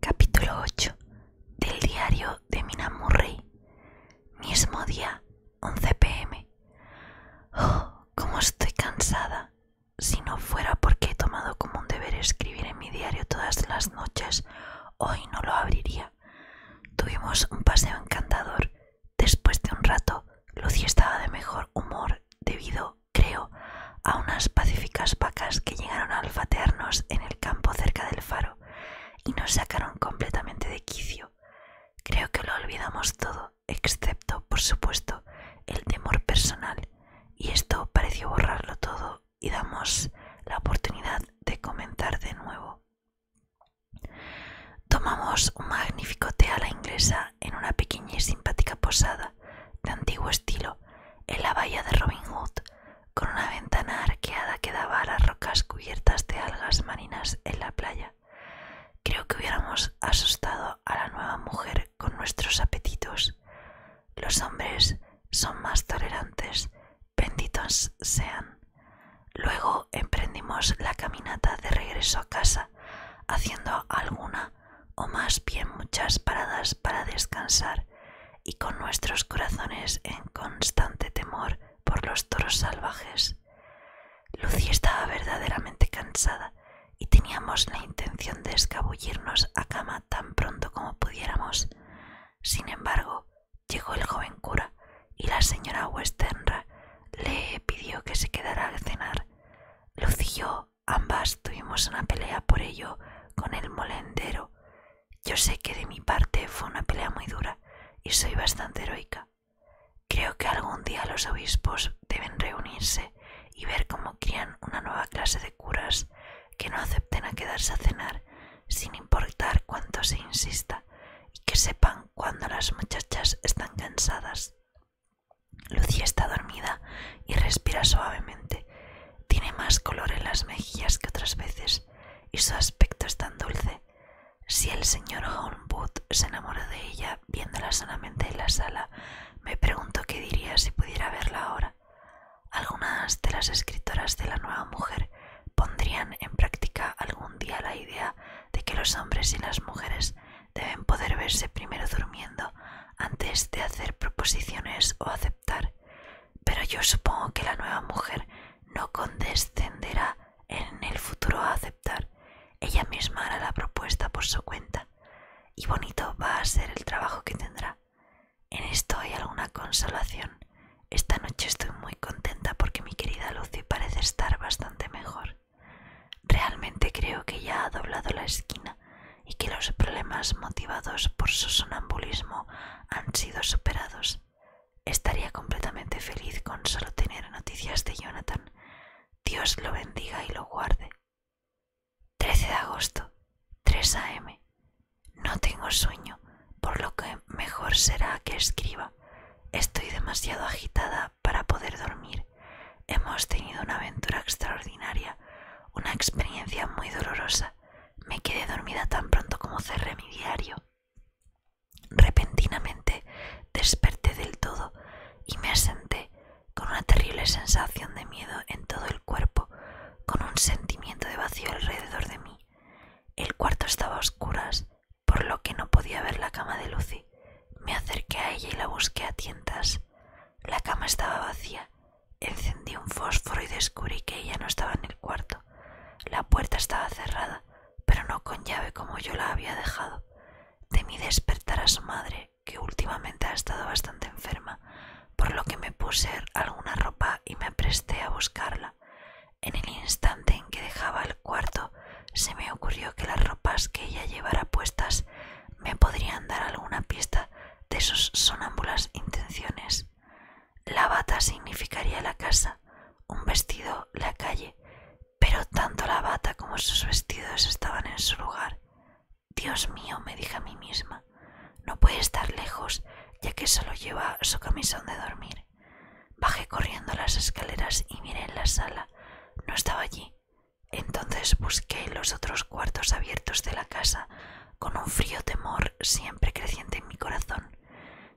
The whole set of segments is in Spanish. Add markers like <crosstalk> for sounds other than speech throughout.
Capítulo 8 del diario de Mina Murray. Mismo día, 11 pm. Oh, cómo estoy cansada. Si no fuera porque he tomado como un deber escribir en mi diario todas las noches hoy no lo abriría. Tuvimos un paseo encantador. Después de un rato, Lucy estaba de mejor humor debido, creo, a unas pacíficas vacas que llegaron a alfaternos en el campo cerca del faro y nos sacaron completamente de quicio. Creo que lo olvidamos todo, excepto, por supuesto, el temor personal, y esto pareció borrarlo todo y damos la oportunidad de comentar de nuevo. Tomamos un magnífico té a la inglesa en una pequeña y simpática posada de antiguo estilo en la bahía de Robin Hood, con una ventana arqueada que daba a las rocas cubiertas de algas marinas en la playa. Creo que hubiéramos asustado a la nueva mujer con nuestros apetitos. Los hombres son más tolerantes, benditos sean. Luego emprendimos la caminata de regreso a casa, haciendo alguna o más bien muchas paradas para descansar y con nuestros corazones en constante temor por los toros salvajes. Lucy estaba verdaderamente cansada y teníamos la intención de escabullirnos a cama tan pronto como pudiéramos. Sin embargo, llegó el joven cura y la señora Westenra le pidió que se quedara a cenar. Lucillo, ambas tuvimos una pelea por ello con el molendero. Yo sé que de mi parte fue una pelea muy dura y soy bastante heroica. Creo que algún día los obispos deben reunirse y ver cómo crían una nueva clase de curas que no acepten a quedarse a cenar sin importar cuánto se insista, y que sepan cuando las muchachas están cansadas. Lucía está dormida y respira suavemente. Tiene más color en las mejillas que otras veces y su aspecto es tan dulce. Si el señor Homewood se enamoró de ella viéndola sanamente en la sala, me pregunto qué diría si pudiera verla ahora. Algunas de las escritoras de la nueva mujer pondrían en práctica algún día la idea de que los hombres y las mujeres deben poder verse primero durmiendo antes de hacer proposiciones o aceptar, pero yo supongo que la nueva mujer no condescenderá en el futuro a aceptar, ella misma hará la propuesta por su cuenta, y bonito va a ser el trabajo que tendrá. En esto hay alguna consolación. Esta noche estoy muy contenta porque mi querida Lucy parece estar bastante mejor. Realmente creo que ya ha doblado la esquina y que los problemas motivados por su sonambulismo han sido superados. Estaría completamente feliz con solo tener noticias de Jonathan. Dios lo bendiga y lo guarde. 13 de agosto, 3 a.m. No tengo sueño, por lo que mejor será que escriba. Estoy demasiado agitada para poder dormir. Hemos tenido una aventura extraordinaria, una experiencia muy dolorosa. Me quedé dormida tan pronto como cerré mi diario. Repentinamente desperté del todo y me asenté con una terrible sensación de miedo en todo el cuerpo con un sentimiento de vacío alrededor de mí. El cuarto estaba a oscuras, por lo que no podía ver la cama de Lucy. Me acerqué a ella y la busqué a tientas. La cama estaba vacía. Encendí un fósforo y descubrí que ella no estaba en el cuarto. La puerta estaba cerrada, pero no con llave como yo la había dejado. Temí despertar a su madre, que últimamente ha estado bastante enferma, por lo que me puse alguna ropa y me presté a buscarla. En el instante en que dejaba el cuarto, se me ocurrió que las ropas que ella llevara puestas me podrían dar alguna pista de sus sonámbulas intenciones. La bata significaría la casa, un vestido la calle, pero tanto la bata como sus vestidos estaban en su lugar. Dios mío, me dije a mí misma. No puede estar lejos, ya que solo lleva su camisón de dormir. Bajé corriendo las escaleras y miré en la sala. No estaba allí. Entonces busqué los otros cuartos abiertos de la casa, con un frío temor siempre creciente en mi corazón.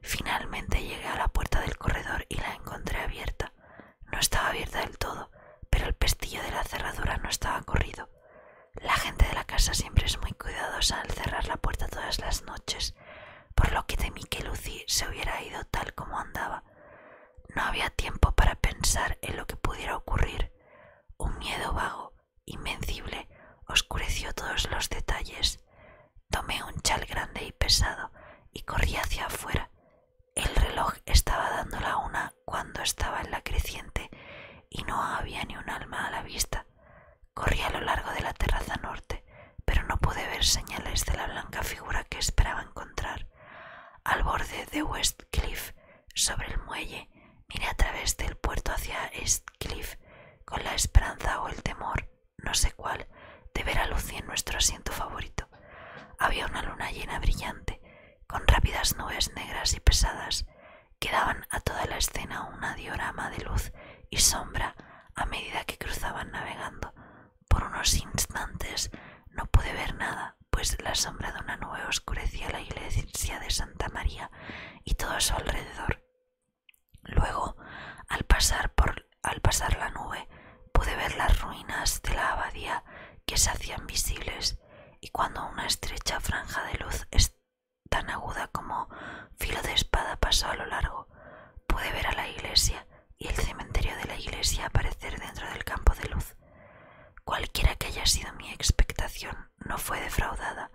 Finalmente llegué a la puerta del corredor y la encontré abierta. No estaba abierta del todo, pero el pestillo de la cerradura no estaba corrido. La gente de la casa siempre es muy cuidadosa al cerrar la puerta todas las noches, por lo que temí que Lucy se hubiera ido tal como andaba. No había tiempo para pensar en lo que pudiera ocurrir. Un miedo vago, invencible, oscureció todos los detalles. Tomé un chal grande y pesado y corrí hacia afuera. El reloj estaba dando la una cuando estaba en la creciente y no había ni un alma a la vista. Corrí a lo largo de la terraza norte, pero no pude ver señales de la blanca figura que esperaba encontrar. Al borde de West Cliff, sobre el muelle, miré a través del puerto hacia East Cliff, con la esperanza o el temor, no sé cuál, de ver a Lucy en nuestro asiento favorito. Había una luna llena brillante, con rápidas nubes negras y pesadas, Quedaban a toda la escena una diorama de luz y sombra a medida que cruzaban navegando. Por unos instantes no pude ver nada, pues la sombra de una nube oscurecía la iglesia de Santa María y todo su alrededor. Luego, al pasar, por, al pasar la nube, pude ver las ruinas de la abadía que se hacían visibles y cuando una estrecha franja de luz tan aguda como filo de espada pasó a lo largo. Pude ver a la iglesia y el cementerio de la iglesia aparecer dentro del campo de luz. Cualquiera que haya sido mi expectación no fue defraudada,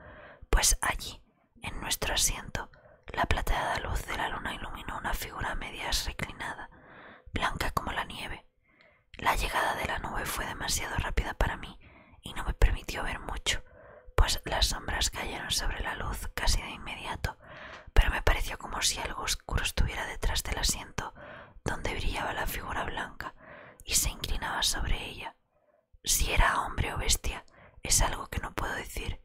pues allí, en nuestro asiento, la plateada luz de la luna iluminó una figura medias reclinada, blanca como la nieve. La llegada de la nube fue demasiado rápida para mí y no me permitió ver mucho, pues las sombras cayeron sobre la luz casi de inmediato, pero me pareció como si algo oscuro estuviera detrás del asiento donde brillaba la figura blanca y se inclinaba sobre ella. Si era hombre o bestia, es algo que no puedo decir.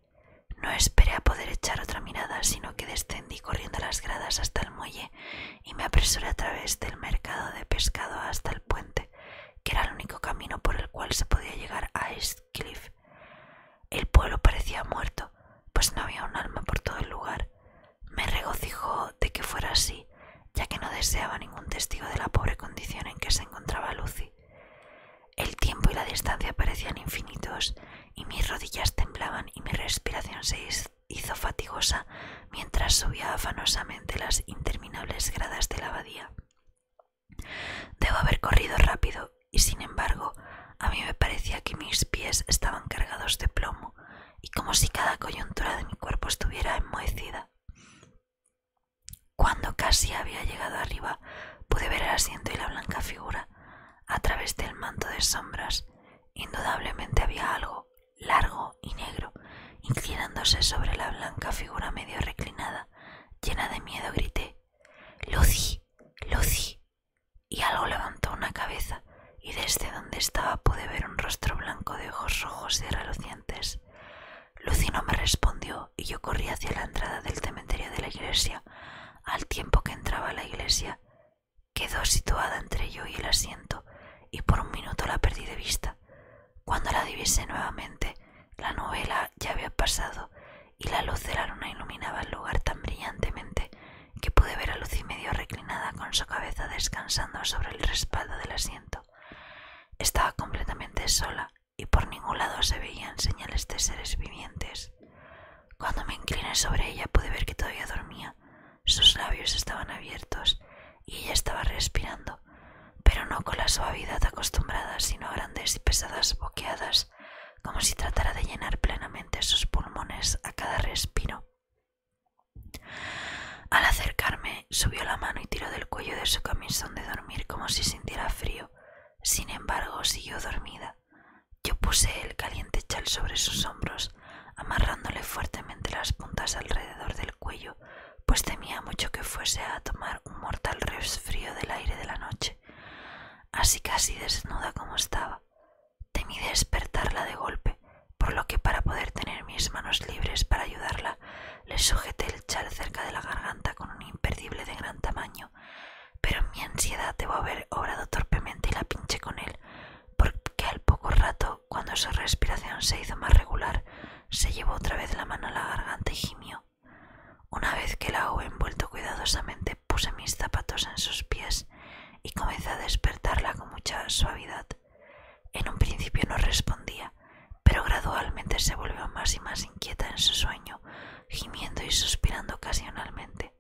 No esperé a poder echar otra mirada, sino que descendí corriendo las gradas hasta el muelle y me apresuré a través del mercado de pescado hasta el puente que era el único camino por el cual se podía llegar a Cliff. El pueblo parecía muerto, pues no había un alma por todo el lugar. Me regocijó de que fuera así, ya que no deseaba ningún testigo de la pobre condición en que se encontraba Lucy. El tiempo y la distancia parecían infinitos, y mis rodillas temblaban y mi respiración se hizo fatigosa mientras subía afanosamente las interminables gradas de la abadía. Debo haber corrido rápido y, sin embargo, a mí me parecía que mis pies estaban cargados de plomo y como si cada coyuntura de mi cuerpo estuviera enmohecida. Cuando casi había llegado arriba, pude ver el asiento y la blanca figura a través del manto de sombras. Indudablemente había algo, largo y negro, inclinándose sobre la blanca figura medio reclinada. Llena de miedo grité, Lucy, Lucy. Y algo levantó una cabeza, y desde donde estaba pude ver un rostro blanco de ojos rojos y relucientes. Lucy no me respondió y yo corrí hacia la entrada del cementerio de la iglesia. Al tiempo que entraba la iglesia, quedó situada entre yo y el asiento, y por un minuto la perdí de vista. Cuando la divisé nuevamente, la novela ya había pasado y la luz de la luna iluminaba el lugar tan brillantemente que pude ver a Lucy medio reclinada con su cabeza descansando sobre el respaldo del asiento. Estaba completamente sola y por ningún lado se veían señales de seres vivientes. Cuando me incliné sobre ella pude ver que todavía dormía. Sus labios estaban abiertos y ella estaba respirando, pero no con la suavidad acostumbrada, sino grandes y pesadas boqueadas, como si tratara de llenar plenamente sus pulmones a cada respiro. Al acercarme, subió la mano y tiró del cuello de su camisón de dormir como si sintiera frío. Sin embargo, siguió dormida. Yo puse el caliente chal sobre sus hombros, amarrándole fuertemente las puntas alrededor del cuello pues temía mucho que fuese a tomar un mortal resfrío del aire de la noche, así casi desnuda como estaba. Temí despertarla de golpe, por lo que para poder tener mis manos libres para ayudarla, le sujeté el chal cerca de la garganta con un imperdible de gran tamaño, pero en mi ansiedad debo haber obrado torpemente y la pinché con él, porque al poco rato, cuando su respiración se hizo más regular, se llevó otra vez la mano a la garganta y gimió. Una vez que la hubo envuelto cuidadosamente, puse mis zapatos en sus pies y comencé a despertarla con mucha suavidad. En un principio no respondía, pero gradualmente se volvió más y más inquieta en su sueño, gimiendo y suspirando ocasionalmente.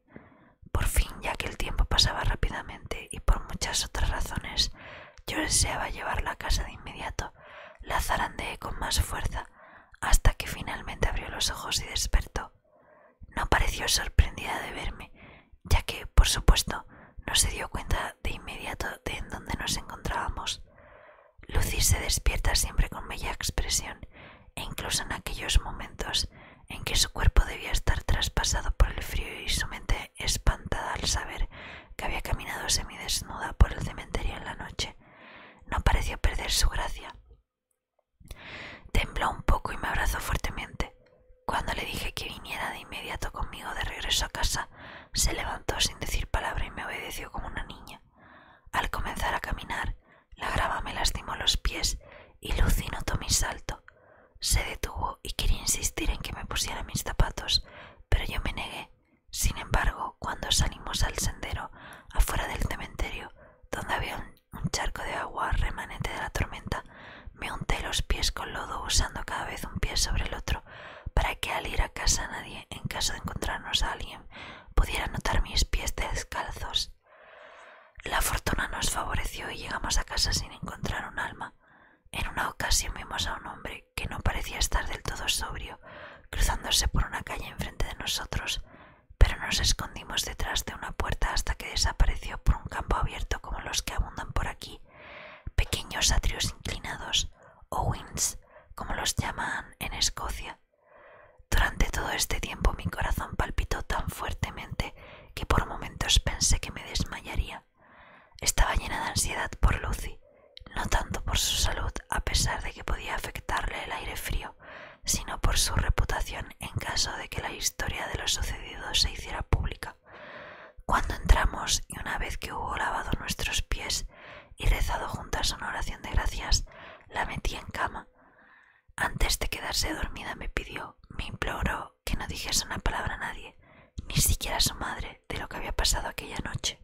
Por fin, ya que el tiempo pasaba rápidamente y por muchas otras razones, yo deseaba llevarla a casa de inmediato. La zarandeé con más fuerza hasta que finalmente abrió los ojos y despertó. No pareció sorprendida de verme, ya que, por supuesto, no se dio cuenta de inmediato de en dónde nos encontrábamos. Lucy se despierta siempre con bella expresión, e incluso en aquellos momentos en que su cuerpo debía estar traspasado por el frío y su mente espantada al saber que había caminado semidesnuda por el cementerio en la noche. No pareció perder su gracia. Tembló un poco y me abrazó fuertemente. Cuando le dije que viniera de inmediato conmigo de regreso a casa, se levantó sin decir palabra y me obedeció como una niña. Al comenzar a caminar, la grava me lastimó los pies y Lucino notó mi salto. Se detuvo y quería insistir en que me pusiera mis zapatos, pero yo me negué. Sin embargo, cuando salimos al sendero, afuera del cementerio, donde había un, charco de agua remanente de la tormenta, me unté los pies con lodo usando cada vez un pie sobre el otro para que al ir a casa nadie, en caso de encontrarnos a alguien, pudiera notar mis pies descalzos. La fortuna nos favoreció y llegamos a casa sin encontrar un alma. En una ocasión vimos a un hombre que no parecía estar del todo sobrio, cruzándose por una calle enfrente de nosotros, pero nos escondimos detrás de una puerta hasta que desapareció por un campo abierto como los que abundan por aquí, pequeños atrios inclinados, o winds, como los llaman en Escocia. Durante todo este tiempo mi corazón palpitó tan fuertemente que por momentos pensé que me desmayaría. Estaba llena de ansiedad por Lucy, no tanto por su salud, a pesar de que podía afectarle el aire frío, sino por su reputación en caso de que la historia de lo sucedido se hiciera pública. Cuando entramos y una vez que hubo lavado nuestros pies y rezado juntas una oración de gracias, la metí en cama. Antes de quedarse dormida me pidió, me imploró que no dijese una palabra a nadie, ni siquiera a su madre, de lo que había pasado aquella noche.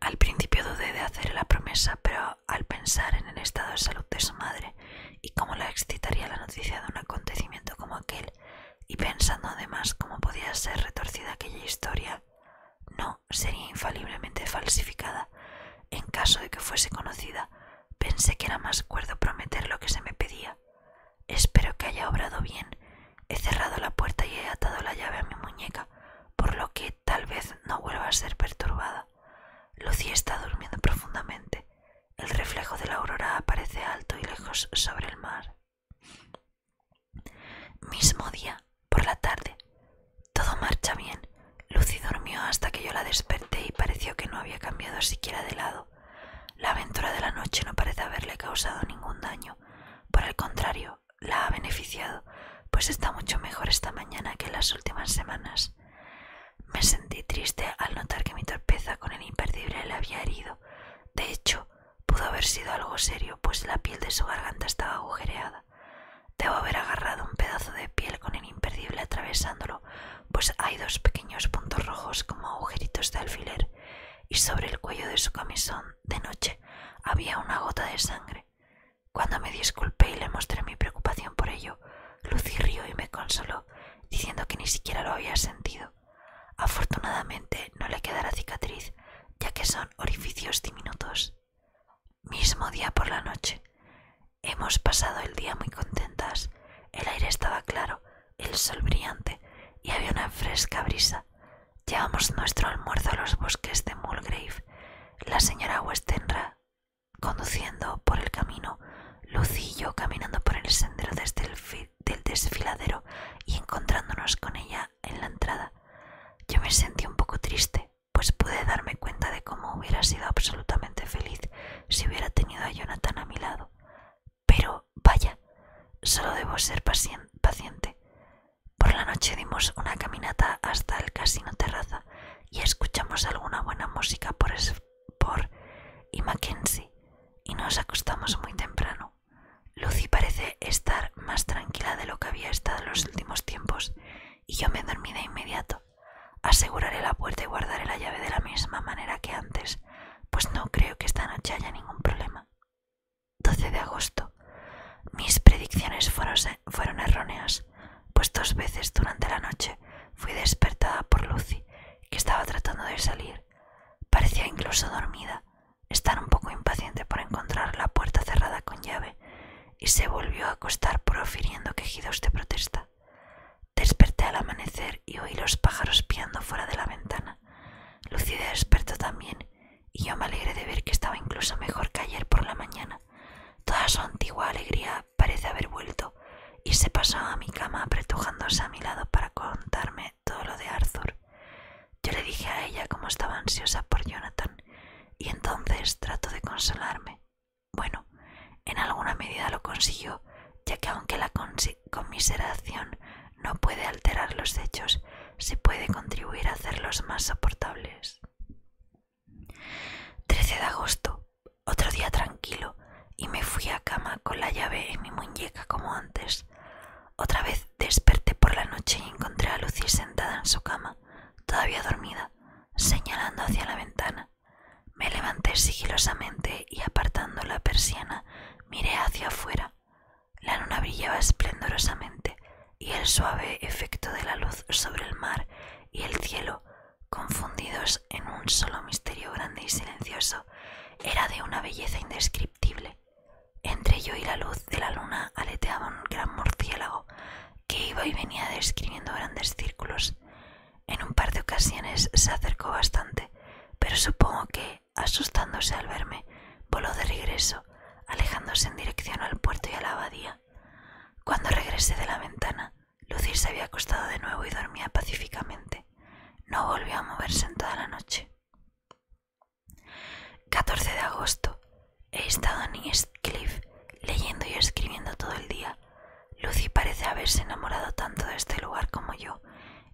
Al principio dudé de hacer la promesa, pero al pensar en el estado de salud de su madre y cómo la excitaría la noticia de un acontecimiento como aquel, y pensando además cómo podía ser retorcida aquella historia, no sería infaliblemente falsificada en caso de que fuese conocida, pensé que era más cuerdo prometer lo que se me pedía, Espero que haya obrado bien. He cerrado la puerta y he atado la llave a mi muñeca, por lo que tal vez no vuelva a ser perturbada. Lucy está durmiendo profundamente. El reflejo de la aurora aparece alto y lejos sobre el mar. Mismo día, por la tarde. Todo marcha bien. Lucy durmió hasta que yo la desperté y pareció que no había cambiado siquiera de lado. La aventura de la noche no parece haberle causado ningún daño. Por el contrario, la ha beneficiado, pues está mucho mejor esta mañana que en las últimas semanas. Me sentí triste al notar que mi torpeza con el imperdible le había herido. De hecho, pudo haber sido algo serio, pues la piel de su garganta estaba agujereada. Debo haber agarrado un pedazo de piel con el imperdible atravesándolo, pues hay dos pequeños puntos rojos como agujeritos de alfiler y sobre el cuello de su camisón de noche había una gota de sangre. Cuando me disculpé y le mostré mi preocupación por ello, Lucy rió y me consoló, diciendo que ni siquiera lo había sentido. Afortunadamente no le quedará cicatriz, ya que son orificios diminutos. Mismo día por la noche. Hemos pasado el día muy contentas. El aire estaba claro el sol brillante y había una fresca brisa. Llevamos nuestro almuerzo a los bosques de Mulgrave. La señora Westenra conduciendo por el camino, Lucillo caminando por el sendero desde el del desfiladero y encontrándonos con ella en la entrada. Yo me sentí un poco triste, pues pude darme cuenta de cómo hubiera sido absolutamente feliz si hubiera tenido a Jonathan a mi lado. Pero vaya, solo debo ser paciente. Por la noche dimos una caminata hasta el casino terraza y escuchamos alguna buena música por por y Mackenzie y nos acostamos muy temprano. Lucy parece estar más tranquila de lo que había estado en los últimos tiempos y yo me dormí de inmediato. Aseguraré la puerta y guardaré la llave de la misma manera que antes, pues no creo que esta noche haya ningún problema. 12 de agosto. Mis predicciones fueron, fueron erróneas, pues dos veces durante la noche fui despertada por Lucy, que estaba tratando de salir. Parecía incluso dormida, estar un poco impaciente por encontrar la puerta cerrada con llave, y se volvió a acostar profiriendo quejidos de protesta. Desperté al amanecer y oí los pájaros piando fuera de la ventana lucida despertó también, y yo me alegré de ver que estaba incluso mejor que ayer por la mañana. Toda su antigua alegría parece haber vuelto, y se pasó a mi cama apretujándose a mi lado para contarme todo lo de Arthur. Yo le dije a ella cómo estaba ansiosa por Jonathan, y entonces trato de consolarme. Bueno, en alguna medida lo consiguió, ya que aunque la, con conmiseración no puede alterar los hechos, se puede contribuir a hacerlos más soportables. 13 de agosto, otro día tranquilo, y me fui a cama con la llave en mi muñeca como antes. Otra vez desperté por la noche y encontré a Lucy sentada en su cama, todavía dormida, señalando hacia la ventana. Me levanté sigilosamente y apartando la persiana miré hacia afuera. La luna brillaba esplendorosamente y el suave efecto de la luz sobre el mar y el cielo, confundidos en un solo misterio grande y silencioso, era de una belleza indescriptible. Entre yo y la luz de la luna aleteaba un gran murciélago que iba y venía describiendo grandes círculos. En un par de ocasiones se acercó bastante, pero supongo que asustándose al verme, voló de regreso, alejándose en dirección al puerto y a la abadía. Cuando regresé de la ventana, Lucy se había acostado de nuevo y dormía pacíficamente. No volvió a moverse en toda la noche. 14 de agosto. He estado en Cliff, leyendo y escribiendo todo el día. Lucy parece haberse enamorado tanto de este lugar como yo,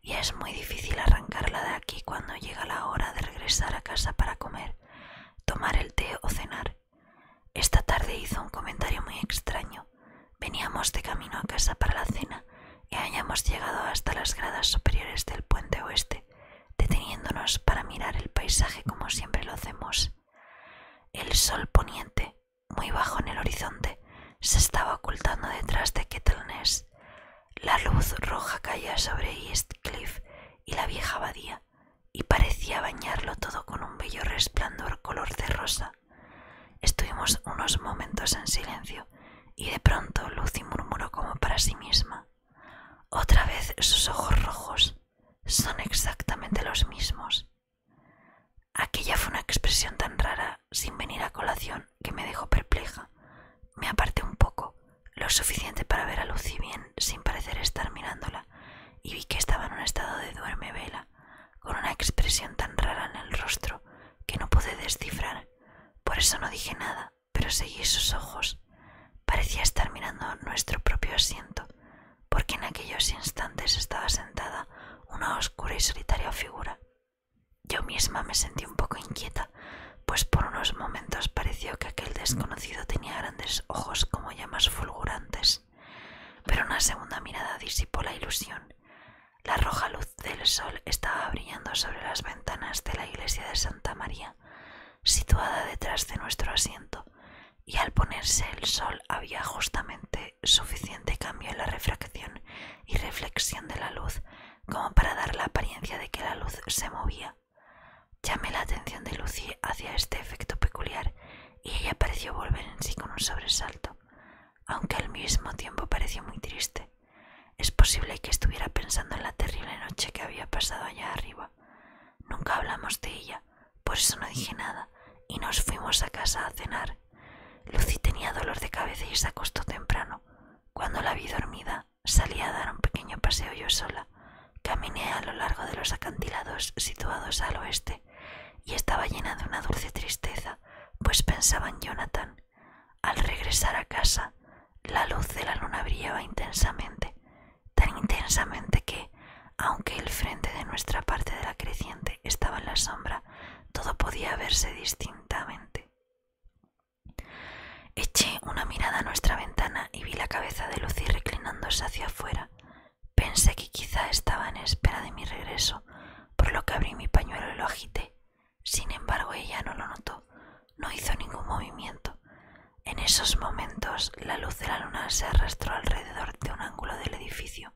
y es muy difícil arrancarla de aquí cuando llega la hora de regresar a casa para comer, tomar el té o cenar. Esta tarde hizo un comentario muy extraño. Veníamos de camino a casa para la cena y hayamos llegado hasta las gradas superiores del puente oeste, deteniéndonos para mirar el paisaje como siempre lo hacemos. El sol poniente, muy bajo en el horizonte, se estaba ocultando detrás de Ness. La luz roja caía sobre East Cliff y la vieja abadía, y parecía bañarlo todo con un bello resplandor color de rosa. Estuvimos unos momentos en silencio, y de pronto Lucy murmuró como para sí misma. Otra vez sus ojos rojos son exactamente los mismos. Aquella fue una expresión tan rara, sin venir a colación que me dejó perpleja. Me aparté un poco, lo suficiente para ver a Lucy bien sin parecer estar mirándola, y vi que estaba en un estado de duerme vela, con una expresión tan rara en el rostro que no pude descifrar. Por eso no dije nada, pero seguí sus ojos. Parecía estar mirando nuestro propio asiento, porque en aquellos instantes estaba sentada una oscura y solitaria figura. Yo misma me sentí un poco inquieta, pues por unos momentos pareció que aquel desconocido tenía grandes ojos como llamas fulgurantes, pero una segunda mirada disipó la ilusión. La roja luz del sol estaba brillando sobre las ventanas de la iglesia de Santa María, situada detrás de nuestro asiento, y al ponerse el sol había justamente suficiente cambio en la refracción y reflexión de la luz como para dar la apariencia de que la luz se movía. Llamé la atención de Lucy hacia este efecto peculiar y ella pareció volver en sí con un sobresalto, aunque al mismo tiempo pareció muy triste. Es posible que estuviera pensando en la terrible noche que había pasado allá arriba. Nunca hablamos de ella, por eso no dije nada y nos fuimos a casa a cenar. Lucy tenía dolor de cabeza y se acostó temprano. Cuando la vi dormida, salí a dar un pequeño paseo yo sola. Caminé a lo largo de los acantilados situados al oeste y estaba llena de una dulce tristeza, pues pensaba en Jonathan. Al regresar a casa, la luz de la luna brillaba intensamente, tan intensamente que, aunque el frente de nuestra parte de la creciente estaba en la sombra, todo podía verse distintamente. Eché una mirada a nuestra ventana y vi la cabeza de Lucy reclinándose hacia afuera. Pensé que quizá estaba en espera de mi regreso, por lo que abrí mi pañuelo y lo agité. Sin embargo, ella no lo notó, no hizo ningún movimiento. En esos momentos, la luz de la luna se arrastró alrededor de un ángulo del edificio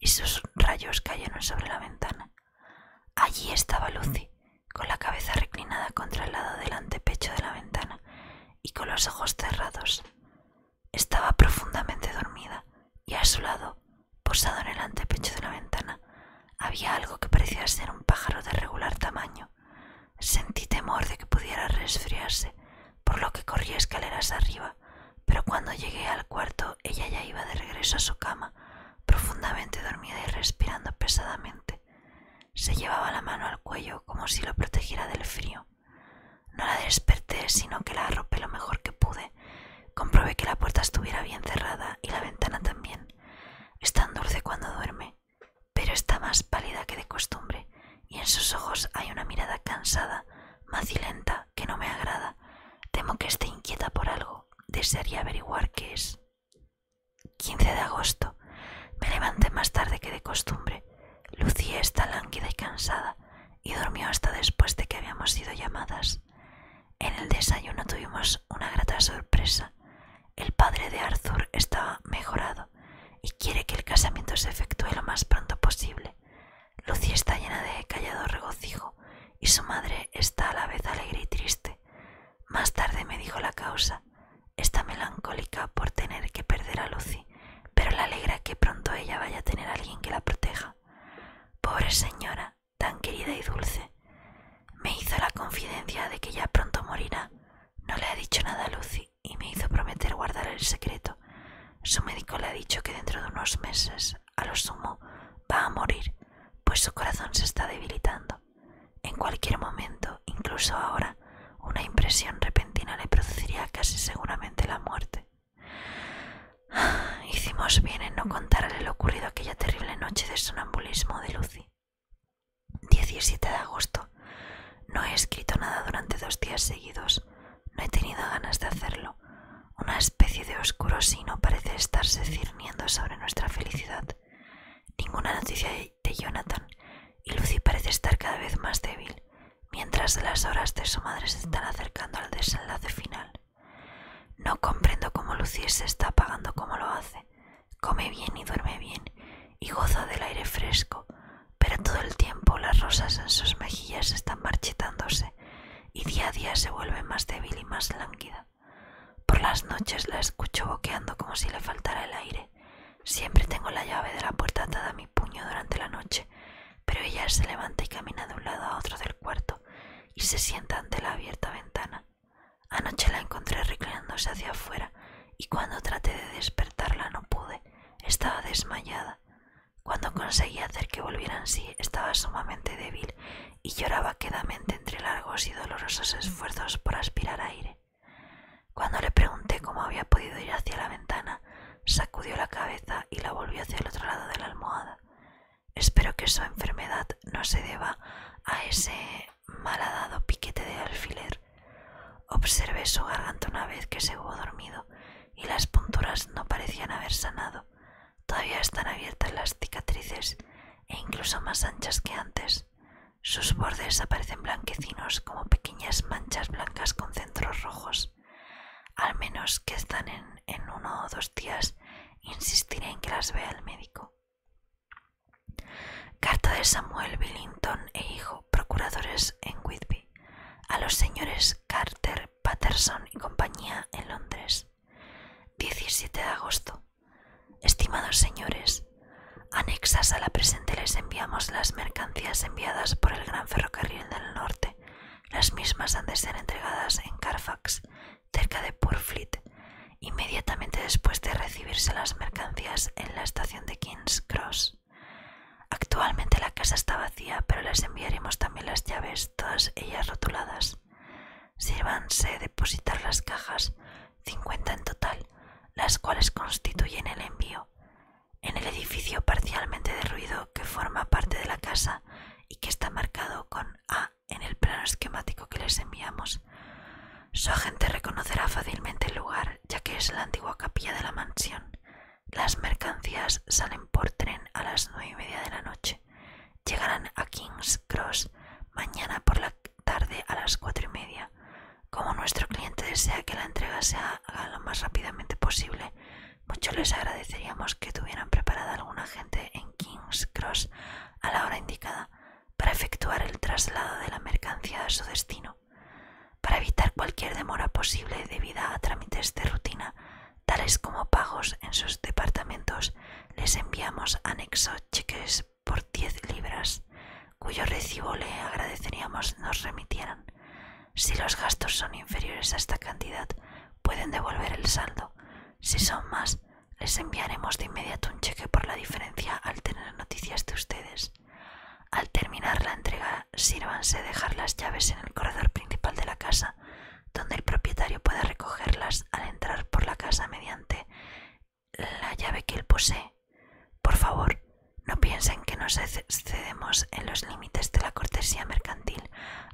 y sus rayos cayeron sobre la ventana. Allí estaba Lucy, con la cabeza reclinada contra el lado del antepecho de la ventana y con los ojos cerrados. Estaba profundamente dormida y a su lado, posado en el antepecho de la ventana, había algo que parecía ser un pájaro de regular tamaño. Sentí temor de que pudiera resfriarse, por lo que corrí escaleras arriba, pero cuando llegué al cuarto ella ya iba de regreso a su cama, profundamente dormida y respirando pesadamente. Se llevaba la mano al cuello como si lo protegiera del frío. No la desperté, sino que la arropé lo mejor que pude. Comprobé que la puerta estuviera bien cerrada y la ventana también. Es tan dulce cuando duerme, pero está más pálida que de costumbre, y en sus ojos hay una mirada cansada, macilenta, que no me agrada. Temo que esté inquieta por algo desearía averiguar qué es. 15 de agosto. Me levanté más tarde que de costumbre. Lucía está lánguida y cansada y durmió hasta después de que habíamos sido llamadas. En el desayuno tuvimos una grata sorpresa. El padre de Arthur está mejorado y quiere que el casamiento se efectúe lo más pronto posible. Lucía está llena de callado regocijo y su madre está a la vez alegre y triste. Más tarde me dijo la causa. Está melancólica por tener que perder a Lucy, pero le alegra que pronto ella vaya a tener alguien que la proteja. Pobre señora, tan querida y dulce. Me hizo la confidencia de que ya pronto morirá. No le ha dicho nada a Lucy y me hizo prometer guardar el secreto. Su médico le ha dicho que dentro de unos meses, a lo sumo, va a morir, pues su corazón se está debilitando. En cualquier momento, incluso ahora, una impresión repentina le produciría casi seguramente la muerte. <sighs> Hicimos bien en no contarle lo ocurrido aquella terrible noche de sonambulismo de Lucy. 17 de agosto. No he escrito nada durante dos días seguidos. No he tenido ganas de hacerlo. Una especie de oscuro sino parece estarse cirniendo sobre nuestra felicidad. Ninguna noticia de Jonathan y Lucy parece estar cada vez más débil, mientras las horas de su madre se están acercando al desenlace final. No comprendo cómo Lucy se está apagando como lo hace. Come bien y duerme bien, y goza del aire fresco, pero todo el tiempo las rosas en sus mejillas están marchitándose, y día a día se vuelve más débil y más lánguida. Por las noches la escucho boqueando como si le faltara el aire. Siempre tengo la llave de la puerta atada a mi puño durante la noche, pero ella se levanta y camina de un lado a otro del cuarto y se sienta ante la abierta ventana. Anoche la encontré reclinándose hacia afuera y cuando traté de despertarla no pude, estaba desmayada. Cuando conseguí hacer que volviera en sí, estaba sumamente débil y lloraba quedamente entre largos y dolorosos esfuerzos por aspirar aire. Cuando le pregunté cómo había podido ir hacia la ventana, sacudió la cabeza y la volvió hacia el otro lado de la almohada. Espero que su enfermedad no se deba a ese malhadado piquete de alfiler. Observé su garganta una vez que se hubo dormido y las punturas no parecían haber sanado, todavía están abiertas las cicatrices e incluso más anchas que antes. Sus bordes aparecen blanquecinos como pequeñas manchas blancas con centros rojos. Al menos que están en, en uno o dos días, insistiré en que las vea el médico. Carta de Samuel Billington e hijo, procuradores en Whitby, a los señores Carter, Patterson y compañía en Londres. 17 de agosto. Estimados señores, anexas a la presente les enviamos las mercancías enviadas por el Gran Ferrocarril del Norte. Las mismas han de ser entregadas en Carfax, cerca de Purfleet, inmediatamente después de recibirse las mercancías en la estación de King's Cross. Actualmente la casa está vacía, pero les enviaremos también las llaves, todas ellas rotuladas sírvanse depositar las cajas, 50 en total, las cuales constituyen el envío. En el edificio parcialmente derruido que forma parte de la casa y que está marcado con A en el plano esquemático que les enviamos, su agente reconocerá fácilmente el lugar, ya que es la antigua capilla de la mansión. Las mercancías salen por tren a las nueve y media de la noche. Llegarán a King's Cross mañana por la tarde a las cuatro y media. Como nuestro cliente desea que la entrega se haga lo más rápidamente posible, mucho les agradeceríamos que tuvieran preparada alguna gente en King's Cross a la hora indicada para efectuar el traslado de la mercancía a su destino. Para evitar cualquier demora posible debida a trámites de rutina, tales como pagos en sus departamentos, les enviamos anexo cheques por 10 libras, cuyo recibo le agradeceríamos nos remitieran. Si los gastos son inferiores a esta cantidad, pueden devolver el saldo. Si son más, les enviaremos de inmediato un cheque por la diferencia al tener noticias de ustedes. Al terminar la entrega, sírvanse dejar las llaves en el corredor principal de la casa donde el propietario pueda recogerlas al entrar por la casa mediante la llave que él posee. Por favor, no piensen que nos excedemos en los límites de la cortesía mercantil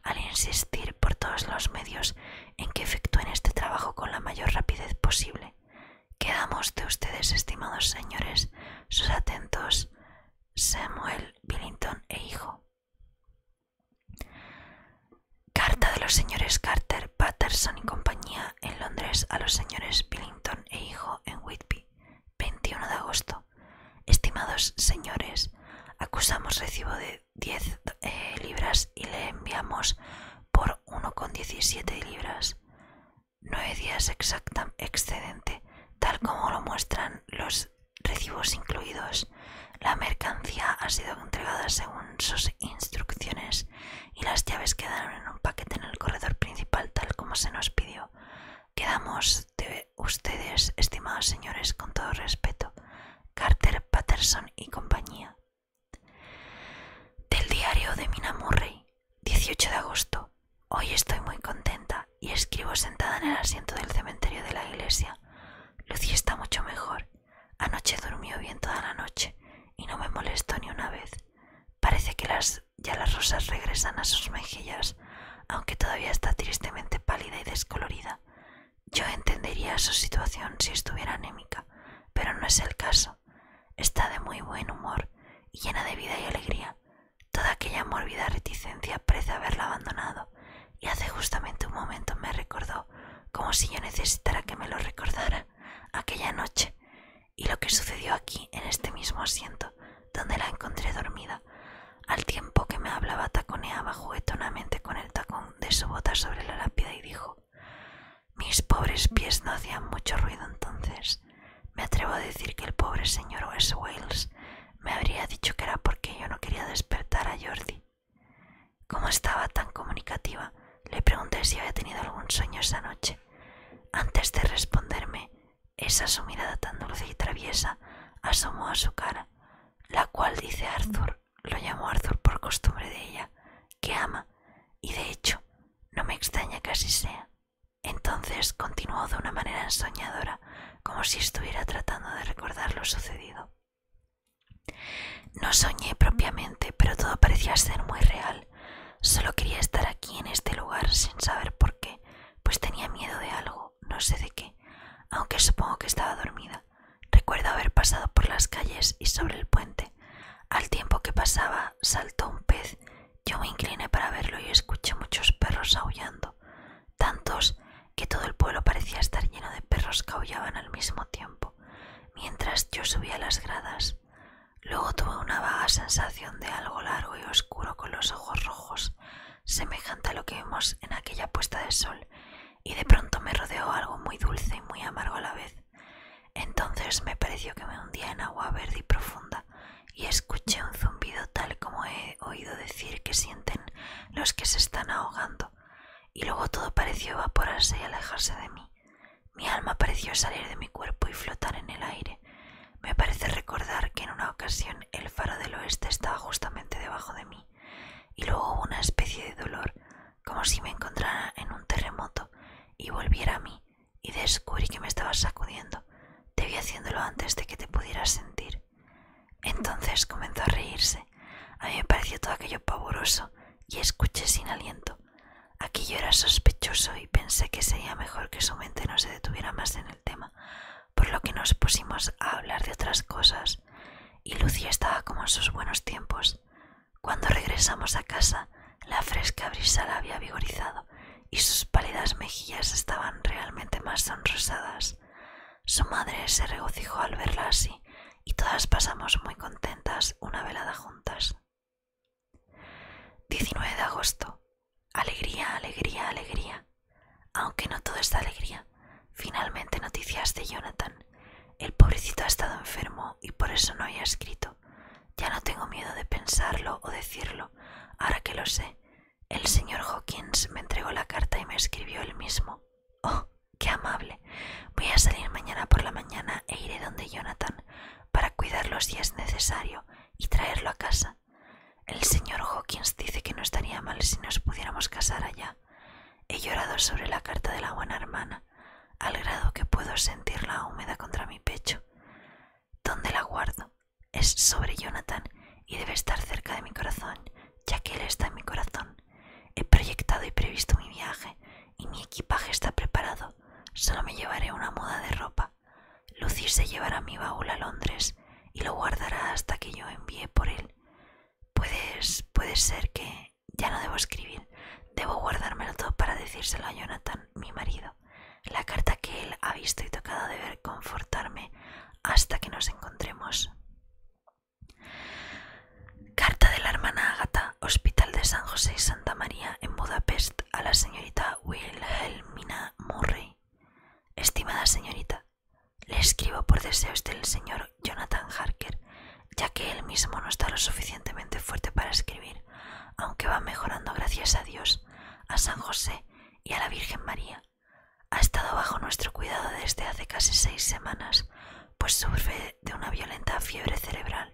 al insistir por todos los medios en que efectúen este trabajo con la mayor rapidez posible. Quedamos de ustedes, estimados señores, sus atentos Samuel Billington e hijo. Carta de los señores Carter, Patterson y compañía en Londres a los señores Billington e hijo en Whitby, 21 de agosto. Estimados señores, acusamos recibo de 10 eh, libras y le enviamos por 1,17 libras. 9 días exacta excedente, tal como lo muestran los recibos incluidos. La mercancía ha sido entregada según sus instrucciones y las llaves quedaron en un paquete en el corredor principal tal como se nos pidió. Quedamos de ustedes, estimados señores, con todo respeto. Carter, Patterson y compañía. Del diario de Mina Murray, 18 de agosto. Hoy estoy muy contenta y escribo sentada en el asiento del cementerio de la iglesia. Lucy está mucho mejor Anoche durmió bien toda la noche y no me molestó ni una vez. Parece que las, ya las rosas regresan a sus mejillas, aunque todavía está tristemente pálida y descolorida. Yo entendería su situación si estuviera anémica, pero no es el caso. Está de muy buen humor y llena de vida y alegría. Toda aquella mórbida reticencia parece haberla abandonado y hace justamente un momento me recordó, como si yo necesitara que me lo recordara, aquella noche y lo que sucedió aquí en este mismo asiento donde la encontré dormida, al tiempo que me hablaba taconeaba juguetonamente con el tacón de su bota sobre la lápida y dijo mis pobres pies no hacían mucho ruido entonces. Me atrevo a decir que el pobre señor West Wales me habría dicho que era porque yo no quería despertar a Jordi. Como estaba tan comunicativa, le pregunté si había tenido algún sueño esa noche. Antes de responderme, esa su mirada tan dulce y traviesa asomó a su cara, la cual, dice Arthur, lo llamó Arthur por costumbre de ella, que ama, y de hecho, no me extraña que así sea. Entonces continuó de una manera ensoñadora, como si estuviera tratando de recordar lo sucedido. No soñé propiamente, pero todo parecía ser muy real. Solo quería estar aquí en este lugar sin saber por qué, pues tenía miedo de algo, no sé de qué, aunque supongo que estaba dormida. Recuerdo haber pasado por las calles y sobre el puente. Al tiempo que pasaba, saltó un pez. Yo me incliné para verlo y escuché muchos perros aullando tantos que todo el pueblo parecía estar lleno de perros que aullaban al mismo tiempo, mientras yo subía las gradas. Luego tuve una vaga sensación de algo largo y oscuro con los ojos rojos, semejante a lo que vimos en aquella puesta de sol, y de pronto me rodeó algo muy dulce y muy amargo a la vez. Entonces me pareció que me hundía en agua verde y profunda, y escuché un zumbido tal como he oído decir que sienten los que se están ahogando y luego todo pareció evaporarse y alejarse de mí. Mi alma pareció salir de mi cuerpo y flotar en el aire. Me parece recordar que en una ocasión el faro del oeste estaba justamente debajo de mí, y luego hubo una especie de dolor, como si me encontrara en un terremoto, y volviera a mí, y descubrí que me estaba sacudiendo. Te vi haciéndolo antes de que te pudieras sentir. Entonces comenzó a reírse. A mí me pareció todo aquello pavoroso y escuché sin aliento. Aquello era sospechoso y pensé que sería mejor que su mente no se detuviera más en el tema, por lo que nos pusimos a hablar de otras cosas y Lucía estaba como en sus buenos tiempos. Cuando regresamos a casa, la fresca brisa la había vigorizado y sus pálidas mejillas estaban realmente más sonrosadas. Su madre se regocijó al verla así y todas pasamos muy contentas una velada juntas. 19 de agosto. Alegría, alegría, alegría. Aunque no todo es alegría. Finalmente noticias de Jonathan. El pobrecito ha estado enfermo y por eso no había escrito. Ya no tengo miedo de pensarlo o decirlo, ahora que lo sé. El señor Hawkins me entregó la carta y me escribió él mismo. Oh, qué amable. Voy a salir mañana por la mañana e iré donde Jonathan para cuidarlo si es necesario y traerlo a casa. El señor Hawkins dice que no estaría mal si nos pudiéramos casar allá. He llorado sobre la carta de la buena hermana, al grado que puedo sentirla húmeda contra mi pecho. ¿Dónde la guardo? Es sobre Jonathan y debe estar cerca de mi corazón, ya que él está en mi corazón. He proyectado y previsto mi viaje y mi equipaje está preparado. Solo me llevaré una muda de ropa. Lucy se llevará mi baúl a Londres y lo guardará hasta que yo envíe por él. Puedes, puede ser que ya no debo escribir. Debo guardármelo todo para decírselo a Jonathan, mi marido. La carta que él ha visto y tocado de ver, confortarme hasta que nos encontremos. Carta de la hermana Agatha, Hospital de San José y Santa María en Budapest a la señorita Wilhelmina Murray. Estimada señorita, le escribo por deseos del señor Jonathan Harker, ya que él mismo no está lo suficientemente fuerte para escribir, aunque va mejorando gracias a Dios, a San José y a la Virgen María. Ha estado bajo nuestro cuidado desde hace casi seis semanas, pues sufre de una violenta fiebre cerebral.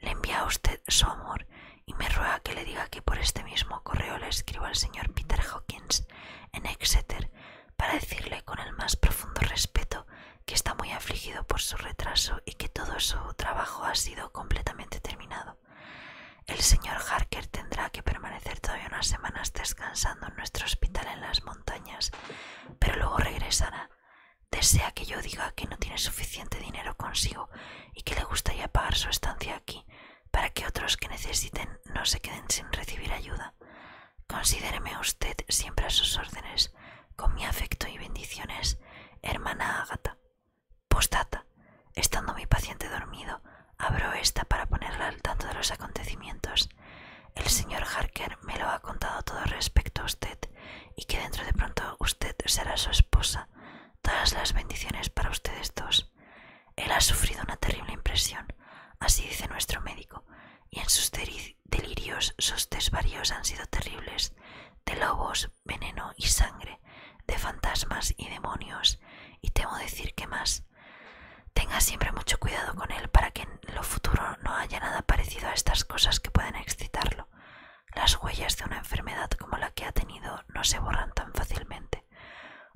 Le envía a usted su amor y me ruega que le diga que por este mismo correo le escribo al señor Peter Hawkins en Exeter para decirle con el más profundo respeto que está muy afligido por su retraso y que todo su trabajo ha sido completamente terminado. El señor Harker tendrá que permanecer todavía unas semanas descansando en nuestro hospital en las montañas, pero luego regresará. Desea que yo diga que no tiene suficiente dinero consigo y que le gustaría pagar su estancia aquí para que otros que necesiten no se queden sin recibir ayuda. Considéreme usted siempre a sus órdenes, con mi afecto y bendiciones, hermana Agata. Postdata, estando mi paciente dormido, abro esta para ponerla al tanto de los acontecimientos. El señor Harker me lo ha contado todo respecto a usted y que dentro de pronto usted será su esposa. Todas las bendiciones para ustedes dos. Él ha sufrido una terrible impresión, así dice nuestro médico, y en sus delirios sus varios han sido terribles, de lobos, veneno y sangre, de fantasmas y demonios, y temo decir que más Tenga siempre mucho cuidado con él para que en lo futuro no haya nada parecido a estas cosas que pueden excitarlo. Las huellas de una enfermedad como la que ha tenido no se borran tan fácilmente.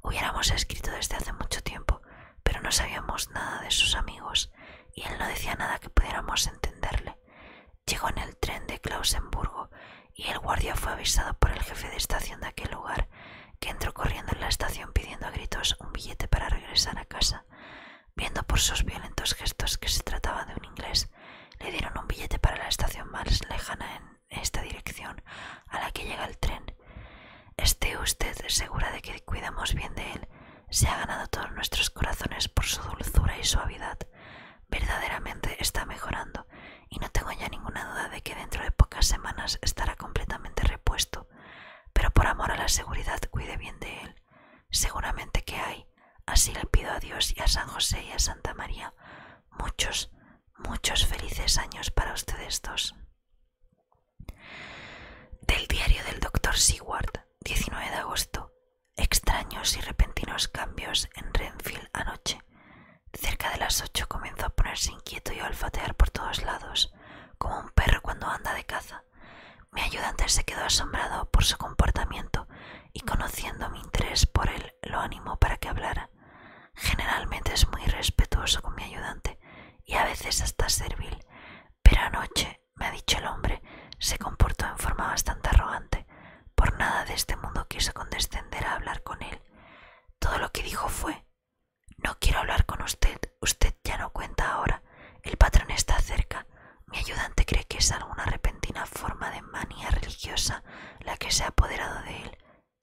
Hubiéramos escrito desde hace mucho tiempo, pero no sabíamos nada de sus amigos y él no decía nada que pudiéramos entenderle. Llegó en el tren de Klausenburg y el guardia fue avisado por el jefe de estación de aquel lugar que entró corriendo en la estación pidiendo a gritos un billete para regresar a casa. Viendo por sus violentos gestos que se trataba de un inglés, le dieron un billete para la estación más lejana en esta dirección a la que llega el tren. Esté usted segura de que cuidamos bien de él. Se ha ganado todos nuestros corazones por su dulzura y suavidad. Verdaderamente está mejorando y no tengo ya ninguna duda de que dentro de pocas semanas estará completamente repuesto pero por amor a la seguridad cuide bien de él. Seguramente que hay, así le pido a Dios y a San José y a Santa María, muchos, muchos felices años para ustedes dos. Del diario del doctor Seward, 19 de agosto. Extraños y repentinos cambios en Renfield anoche. Cerca de las ocho comenzó a ponerse inquieto y a olfatear por todos lados como un perro cuando anda de caza. Mi ayudante se quedó asombrado por su comportamiento y conociendo mi interés por él lo animó para que hablara. Generalmente es muy respetuoso con mi ayudante y a veces hasta servil, pero anoche, me ha dicho el hombre, se comportó en forma bastante arrogante. Por nada de este mundo quiso condescender a hablar con él. Todo lo que dijo fue no quiero hablar con usted. Usted ya no cuenta ahora. El patrón está cerca. Mi ayudante cree que es alguna repentina forma de manía religiosa la que se ha apoderado de él.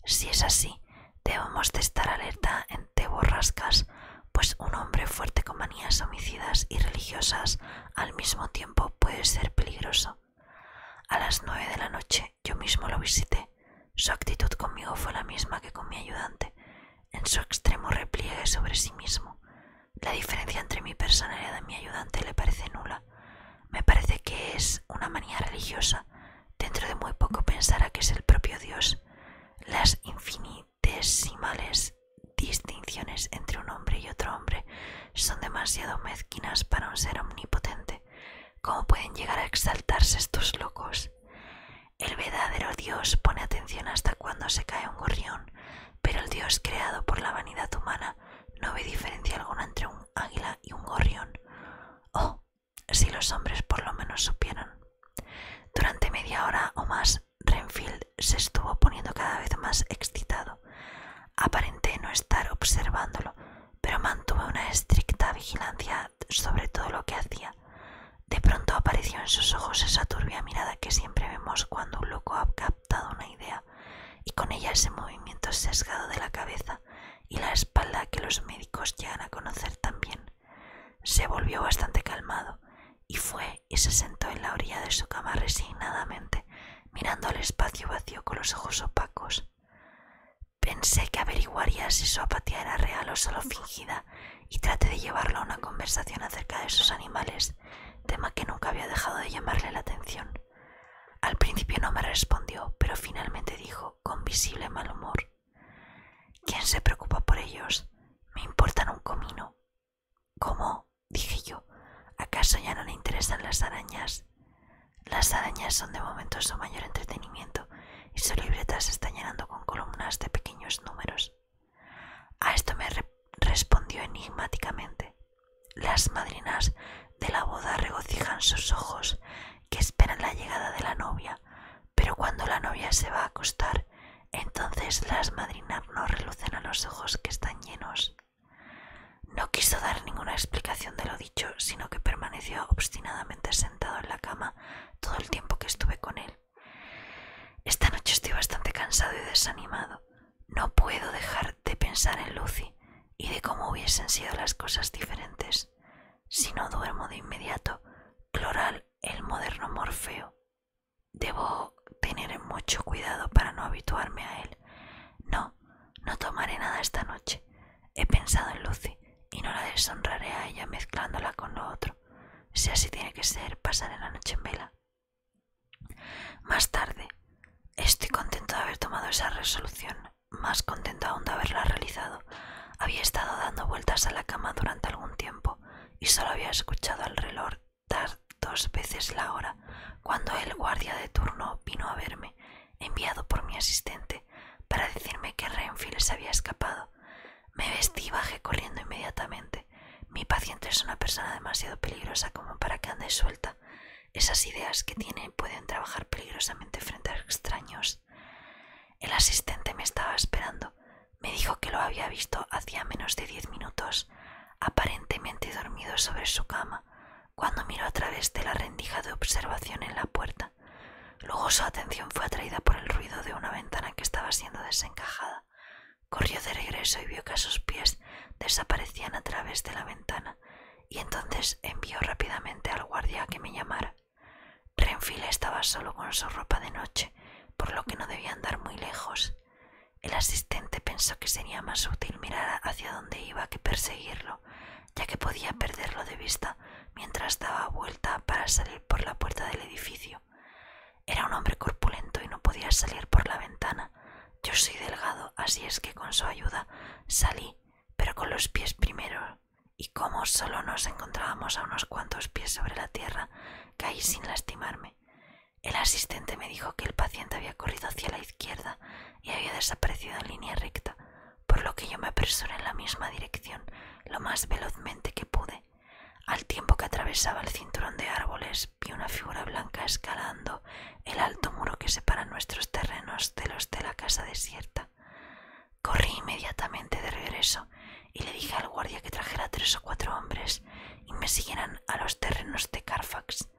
Si es así, debemos de estar alerta ante borrascas, pues un hombre fuerte con manías homicidas y religiosas al mismo tiempo puede ser peligroso. A las nueve de la noche yo mismo lo visité su actitud conmigo fue la misma que con mi ayudante, en su extremo repliegue sobre sí mismo. La diferencia entre mi personalidad y mi ayudante le parece nula. Me parece que es una manía religiosa. Dentro de muy poco pensará que es el propio Dios. Las infinitesimales distinciones entre un hombre y otro hombre son demasiado mezquinas para un ser omnipotente. ¿Cómo pueden llegar a exaltarse estos locos? El verdadero Dios pone atención hasta cuando se cae un gorrión, pero el Dios creado por la vanidad humana no ve diferencia alguna entre un águila y un gorrión. Oh, si los hombres por lo menos supieran. Durante media hora o más, Renfield se estuvo poniendo cada vez más excitado. Aparenté no estar observándolo, pero mantuve una estricta vigilancia sobre todo lo que hacía. De pronto apareció en sus ojos esa turbia mirada que siempre vemos cuando un loco ha captado una idea, y con ella ese movimiento sesgado de la cabeza y la espalda que los médicos llegan a conocer también. Se volvió bastante calmado y fue y se sentó en la orilla de su cama resignadamente, mirando al espacio vacío con los ojos opacos. Pensé que averiguaría si su apatía era real o solo fingida y traté de llevarla a una conversación acerca de esos animales, tema que nunca había dejado de llamarle la atención. Al principio no me respondió, pero finalmente dijo, con visible mal humor, ¿Quién se preocupa por ellos? Me importan un comino. ¿Cómo? dije yo. ¿Acaso ya no le interesan las arañas? Las arañas son de momento su mayor entretenimiento y su libreta se está llenando con columnas de pequeños números. A esto me respondió enigmáticamente. Las madrinas de la boda regocijan sus ojos que esperan la llegada de la novia, pero cuando la novia se va a acostar, entonces las madrinas no relucen a los ojos que están llenos. No quiso dar ninguna explicación de lo dicho, sino que permaneció obstinadamente sentado en la cama todo el tiempo que estuve con él. Esta noche estoy bastante cansado y desanimado. No puedo dejar de pensar en Lucy y de cómo hubiesen sido las cosas diferentes. Si no duermo de inmediato, Cloral, el moderno Morfeo. Debo tener mucho cuidado para no habituarme a él. No, no tomaré nada esta noche. He pensado en Lucy y no la deshonraré a ella mezclándola con lo otro. Si así tiene que ser, pasaré la noche en vela. Más tarde, estoy contento de haber tomado esa resolución, más contento aún de haberla realizado. Había estado dando vueltas a la cama durante algún tiempo y solo había escuchado al reloj dar dos veces la hora cuando el guardia de turno vino a verme, enviado por mi asistente, para decirme que Renfield se había escapado me vestí y bajé corriendo inmediatamente. Mi paciente es una persona demasiado peligrosa como para que ande suelta. Esas ideas que tiene pueden trabajar peligrosamente frente a extraños. El asistente me estaba esperando. Me dijo que lo había visto hacía menos de diez minutos, aparentemente dormido sobre su cama, cuando miró a través de la rendija de observación en la puerta. Luego su atención fue atraída por el ruido de una ventana que estaba siendo desencajada. Corrió de regreso y vio que sus pies desaparecían a través de la ventana, y entonces envió rápidamente al guardia que me llamara. Renfield estaba solo con su ropa de noche, por lo que no debía andar muy lejos. El asistente pensó que sería más útil mirar hacia dónde iba que perseguirlo, ya que podía perderlo de vista mientras daba vuelta para salir por la puerta del edificio. Era un hombre corpulento y no podía salir por la ventana. Yo soy delgado, así es que con su ayuda salí, pero con los pies primero. Y como solo nos encontrábamos a unos cuantos pies sobre la tierra, caí sin lastimarme. El asistente me dijo que el paciente había corrido hacia la izquierda y había desaparecido en línea recta por lo que yo me apresuré en la misma dirección lo más velozmente que pude. Al tiempo que atravesaba el cinturón de árboles, vi una figura blanca escalando el alto muro que separa nuestros terrenos de los de la casa desierta. Corrí inmediatamente de regreso y le dije al guardia que trajera tres o cuatro hombres y me siguieran a los terrenos de Carfax,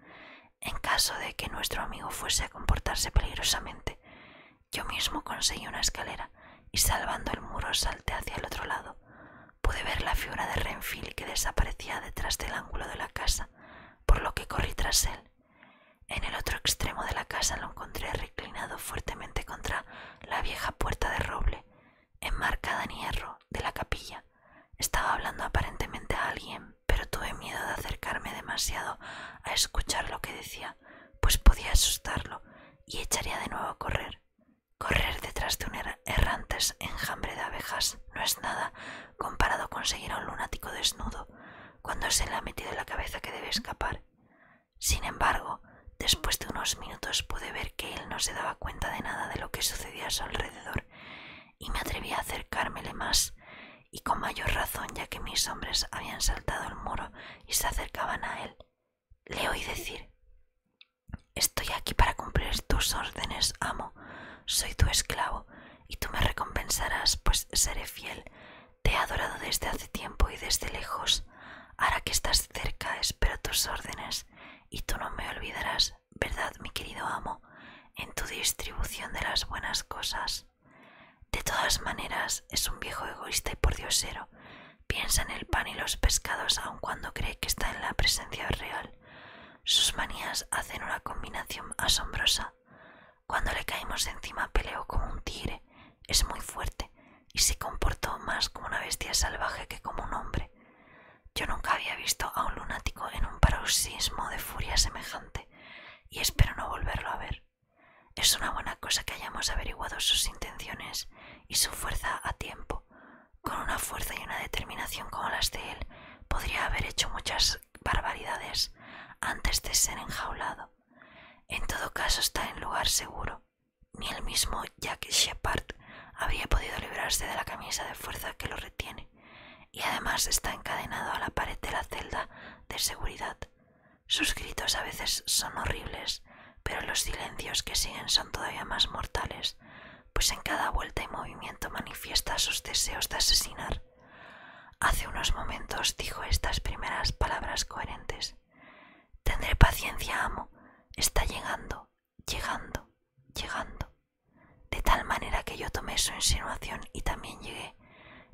en caso de que nuestro amigo fuese a comportarse peligrosamente, yo mismo conseguí una escalera y salvando el muro salté hacia el otro lado. Pude ver la figura de Renfield que desaparecía detrás del ángulo de la casa, por lo que corrí tras él. En el otro extremo de la casa lo encontré reclinado fuertemente contra la vieja puerta de roble, enmarcada en hierro, de la capilla. Estaba hablando aparentemente a alguien, pero tuve miedo de acercarme demasiado a escuchar lo que decía, pues podía asustarlo y echaría de nuevo a correr. Correr detrás de un errante enjambre de abejas no es nada comparado con seguir a un lunático desnudo cuando se le ha metido en la cabeza que debe escapar. Sin embargo, después de unos minutos pude ver que él no se daba cuenta de nada de lo que sucedía a su alrededor y me atreví a acercármele más y con mayor razón ya que mis hombres habían saltado el muro y se acercaban a él le oí decir Estoy aquí para cumplir tus órdenes, amo. Soy tu esclavo y tú me recompensarás, pues seré fiel. Te he adorado desde hace tiempo y desde lejos. Ahora que estás cerca, espero tus órdenes y tú no me olvidarás, ¿verdad, mi querido amo? En tu distribución de las buenas cosas. De todas maneras, es un viejo egoísta y pordiosero Piensa en el pan y los pescados aun cuando cree que está en la presencia real. Sus manías hacen una combinación asombrosa. Cuando le caímos encima peleó como un tigre, es muy fuerte y se comportó más como una bestia salvaje que como un hombre. Yo nunca había visto a un lunático en un paroxismo de furia semejante y espero no volverlo a ver. Es una buena cosa que hayamos averiguado sus intenciones y su fuerza a tiempo. Con una fuerza y una determinación como las de él, podría haber hecho muchas barbaridades antes de ser enjaulado. En todo caso está en lugar seguro. Ni el mismo Jack Shepard habría podido librarse de la camisa de fuerza que lo retiene, y además está encadenado a la pared de la celda de seguridad. Sus gritos a veces son horribles, pero los silencios que siguen son todavía más mortales, pues en cada vuelta y movimiento manifiesta sus deseos de asesinar. Hace unos momentos dijo estas primeras palabras coherentes. Tendré paciencia, amo. Está llegando, llegando, llegando. De tal manera que yo tomé su insinuación y también llegué.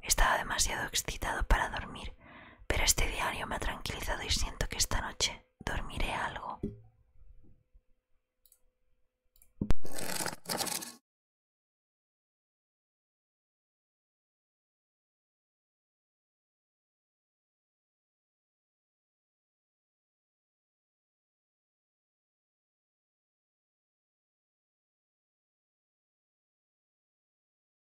Estaba demasiado excitado para dormir pero este diario me ha tranquilizado y siento que esta noche dormiré algo.